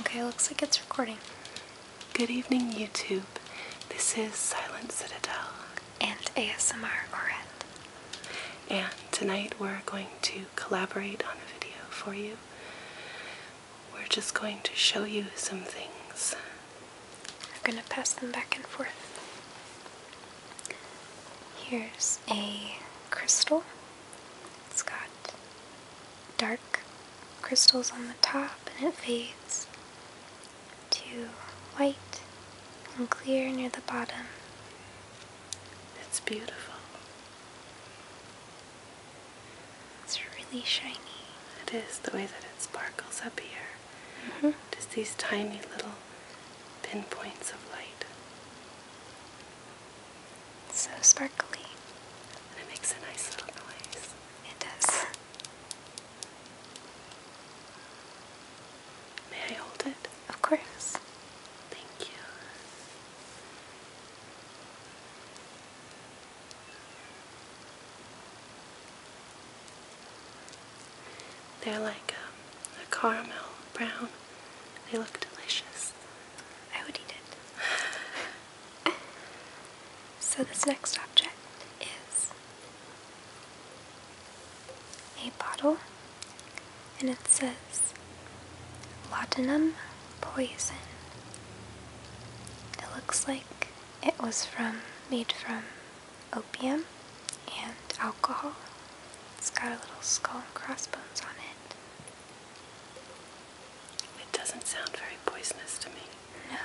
Okay, looks like it's recording. Good evening, YouTube. This is Silent Citadel. And ASMR Oret. And tonight we're going to collaborate on a video for you. We're just going to show you some things. We're going to pass them back and forth. Here's a crystal. It's got dark crystals on the top and it fades to white and clear near the bottom. It's beautiful. It's really shiny. It is the way that it sparkles up here. Mm-hmm. Just these tiny little pinpoints of light. It's so sparkly, and it makes a nice little noise. It does. May I hold it? Of course. Thank you. They're like um, a caramel brown. They look delicious. I would eat it. so this next object is a bottle and it says laudanum poison. It looks like it was from made from opium and alcohol. It's got a little skull and crossbones on it. It doesn't sound very poisonous to me. No.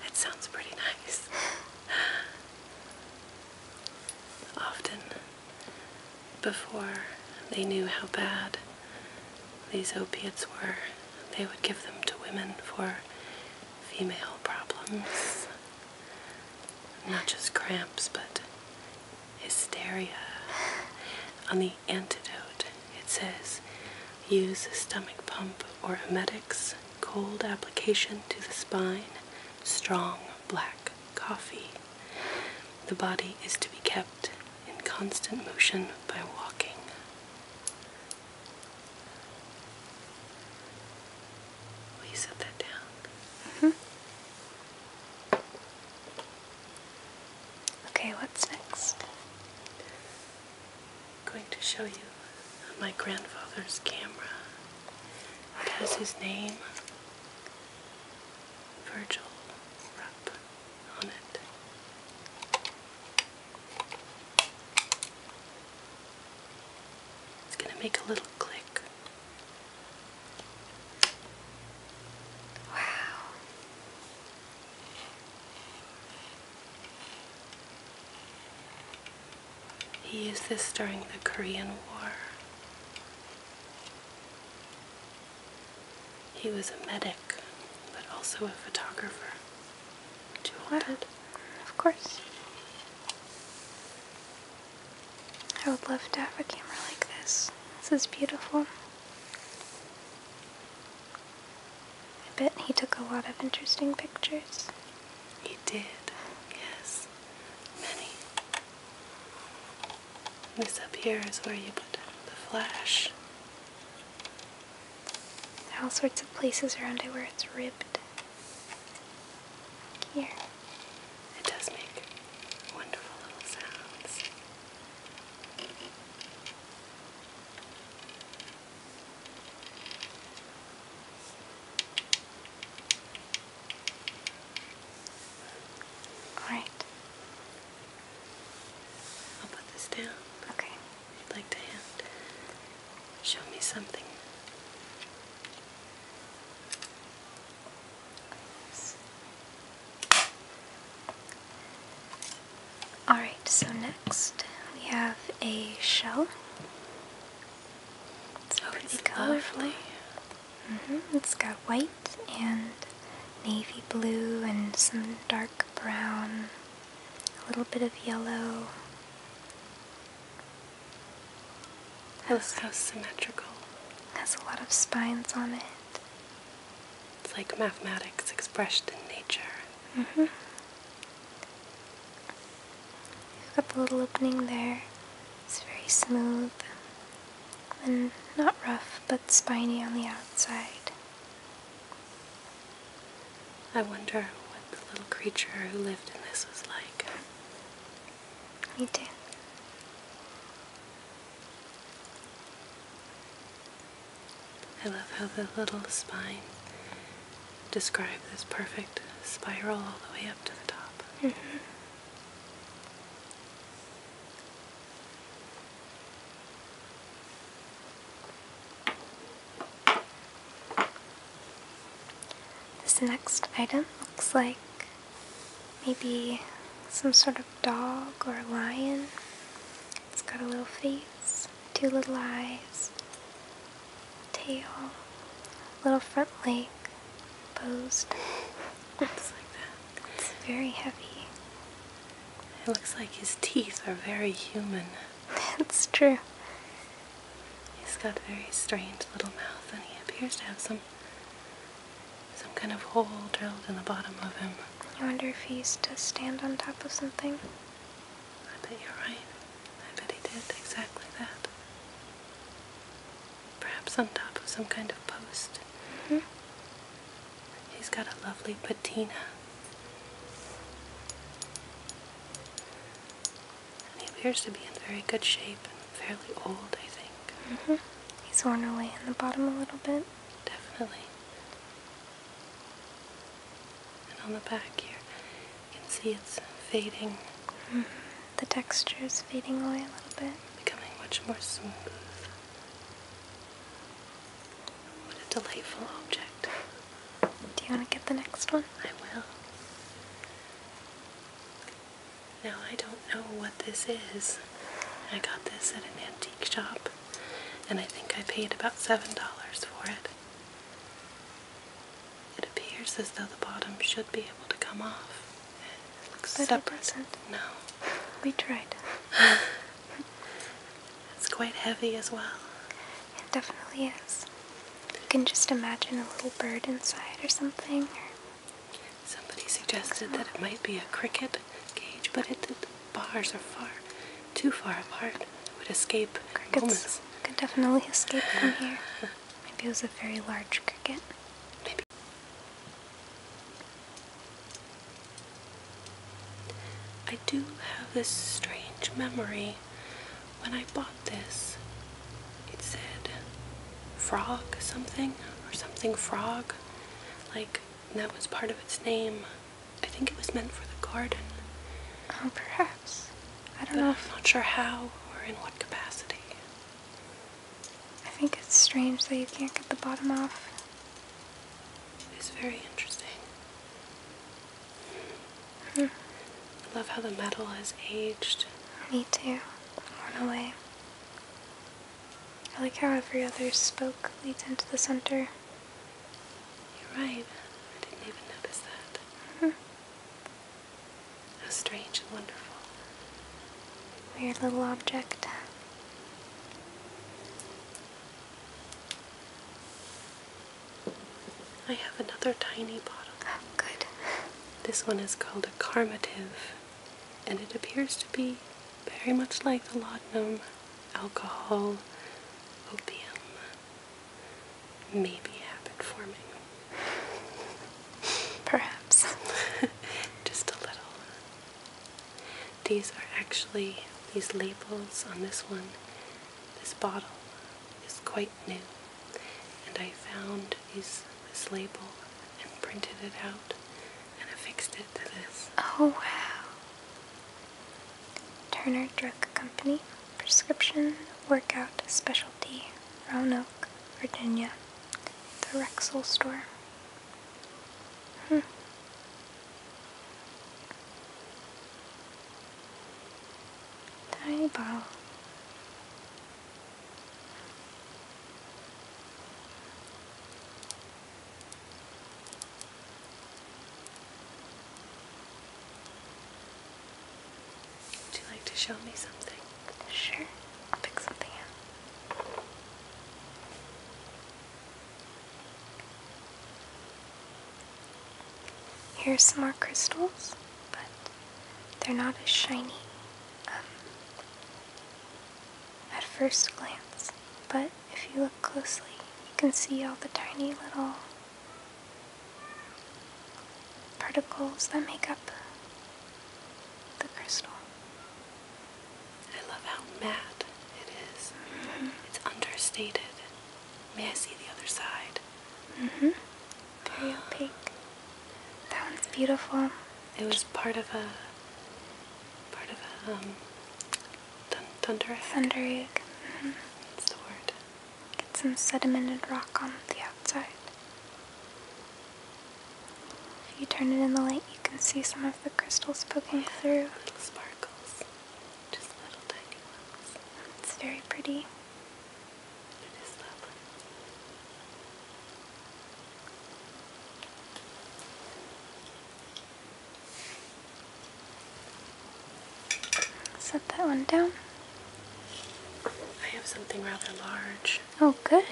it sounds pretty nice. Often, before they knew how bad these opiates were, they would give them to women for female problems. Not just cramps, but hysteria. On the antidote, it says use a stomach pump or emetics, cold application to the spine, strong black coffee. The body is to be kept in constant motion by walking. Will set that down? -hmm. Okay, what's next? I'm going to show you my grandfather's camera. It has his name, Virgil on it. It's going to make a little click. Wow. He used this during the Korean War. He was a medic, but also a photographer. Do you want it? Of course. I would love to have a camera like this. This is beautiful. I bet he took a lot of interesting pictures. He did, yes. Many. This up here is where you put the flash. There are all sorts of places around it where it's ribbed. Here. It does make wonderful little sounds. All right. I'll put this down. Okay. you'd like to hand, show me something. Alright, so next we have a shell. It's oh, pretty colorful. Mm-hmm, it's got white and navy blue and some dark brown, a little bit of yellow. looks so symmetrical. Has a lot of spines on it. It's like mathematics expressed in nature. Mm mm-hmm. You've got the little opening there. It's very smooth and not rough, but spiny on the outside. I wonder what the little creature who lived in this was like. Me too. I love how the little spine describes this perfect spiral all the way up to the top. This next item looks like maybe some sort of dog or a lion. It's got a little face, two little eyes, tail, little front leg, posed. Looks like that. It's very heavy. It looks like his teeth are very human. That's true. He's got a very strange little mouth and he appears to have some some kind of hole drilled in the bottom of him. I wonder if he used to stand on top of something. I bet you're right. I bet he did exactly that. Perhaps on top of some kind of post. -hmm. He's got a lovely patina. And he appears to be in very good shape and fairly old, I think. -hmm. He's worn away in the bottom a little bit definitely. And on the back here, you can see it's fading. Mm-hmm. The texture is fading away a little bit. Becoming much more smooth. What a delightful object. Do you want to get the next one? I will. Now, I don't know what this is. I got this at an antique shop, and I think I paid about $7 for it. It appears as though the bottom should be able to come off. It looks but separate. It No. We tried. it's quite heavy as well. It definitely is. You can just imagine a little bird inside or something. Somebody suggested that it might be a cricket cage, but it, it bars are far, too far apart. I would escape crickets. Could definitely escape from here. Maybe it was a very large cricket. Maybe. I do have this strange memory. When I bought this, it said frog something or something frog. Like and that was part of its name. I think it was meant for the garden. Oh, perhaps. I don't know. I'm not sure how or in what capacity. I think it's strange that you can't get the bottom off. It is very interesting. Hmm. I love how the metal has aged. Me too. Worn away. I like how every other spoke leads into the center. You're right. I didn't even notice that. -hmm. How strange and wonderful. Weird little object. I have another tiny bottle. good. This one is called a carmative, and it appears to be very much like the laudanum alcohol, opium, maybe habit forming. Perhaps. Just a little. These are actually, these labels on this one, this bottle is quite new. And I found these, this label and printed it out and I fixed it to this. Oh wow. Turner Drug Company, Prescription Workout Specialty, Roanoke, Virginia. The Rexall Store. Hmm. Tiny bottle. Would you like to show me something? Sure, I'll pick something out. Here's some more crystals, but they're not as shiny um, at first glance, but if you look closely, you can see all the tiny little particles that make up the crystal. I love how matte it mm-hmm. It's understated. May I see the other side? Mm-hmm. Very opaque. That one's beautiful. It was part of a part of a um, thunder egg. Thunder egg. Mm the word. Get some sedimented rock on the outside. If you turn it in the light, you can see some of the crystals poking through. Little sparkles, just little tiny ones. It's very pretty. It is lovely. Set that one down. I have something rather large. Oh, good.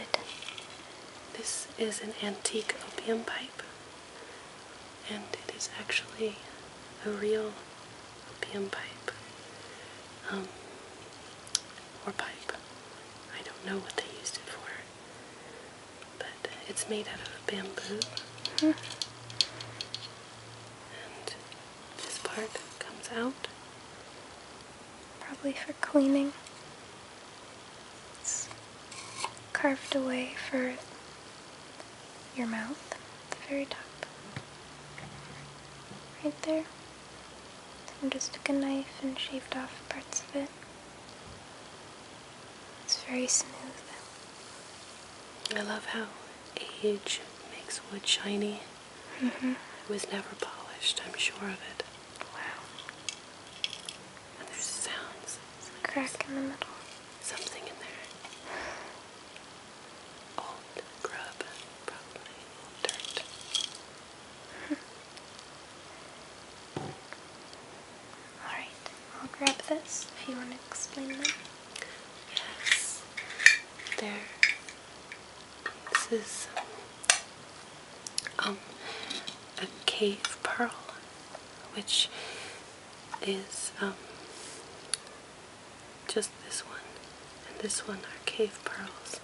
This is an antique opium pipe, and it is actually a real opium pipe. Um, or pipe. I don't know what they used it for but it's made out of bamboo. And this part comes out. Probably for cleaning. It's carved away for your mouth at the very top. Right there. And just took a knife and shaved off parts of it. It's very smooth. I love how age makes wood shiny. Mm-hmm. It was never polished, I'm sure of it. Wow. And there's sounds. crack in the middle. Something in there. Old grub, probably. dirt. Alright, I'll grab this if you want to explain them. Yes, there. This is um, a cave pearl, which is um, just this one and this one are cave pearls,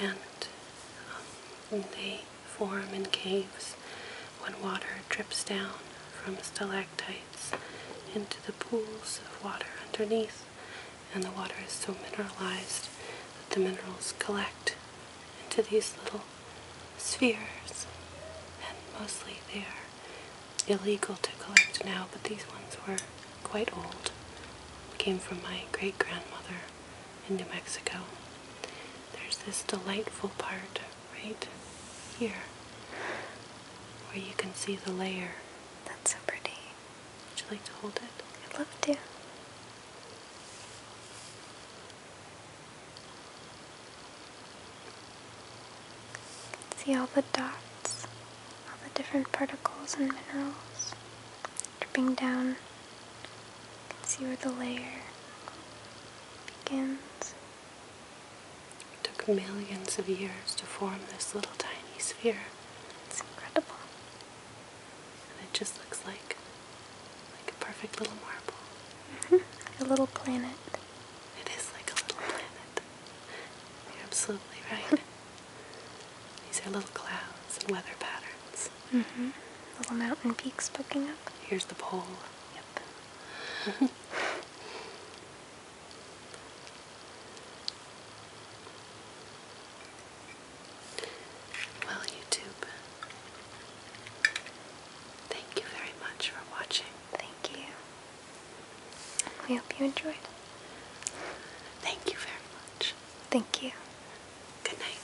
and um, they form in caves when water drips down from stalactites into the pools of water underneath, and the water is so mineralized that the minerals collect into these little spheres. And mostly they are illegal to collect now, but these ones were quite old. Came from my great grandmother in New Mexico. There's this delightful part right here where you can see the layer. That's so pretty. Would you like to hold it? I'd love to. See all the dots, all the different particles and minerals dripping down See where the layer begins. took millions of years to form this little tiny sphere. It's incredible. And it just looks like like a perfect little marble. Mm-hmm. a little planet. It is like a little planet. You're absolutely right. These are little clouds and weather patterns. Mm-hmm. Little mountain peaks poking up. Here's the pole Yep. well, YouTube, thank you very much for watching. Thank you. We hope you enjoyed. Thank you very much. Thank you. Good night.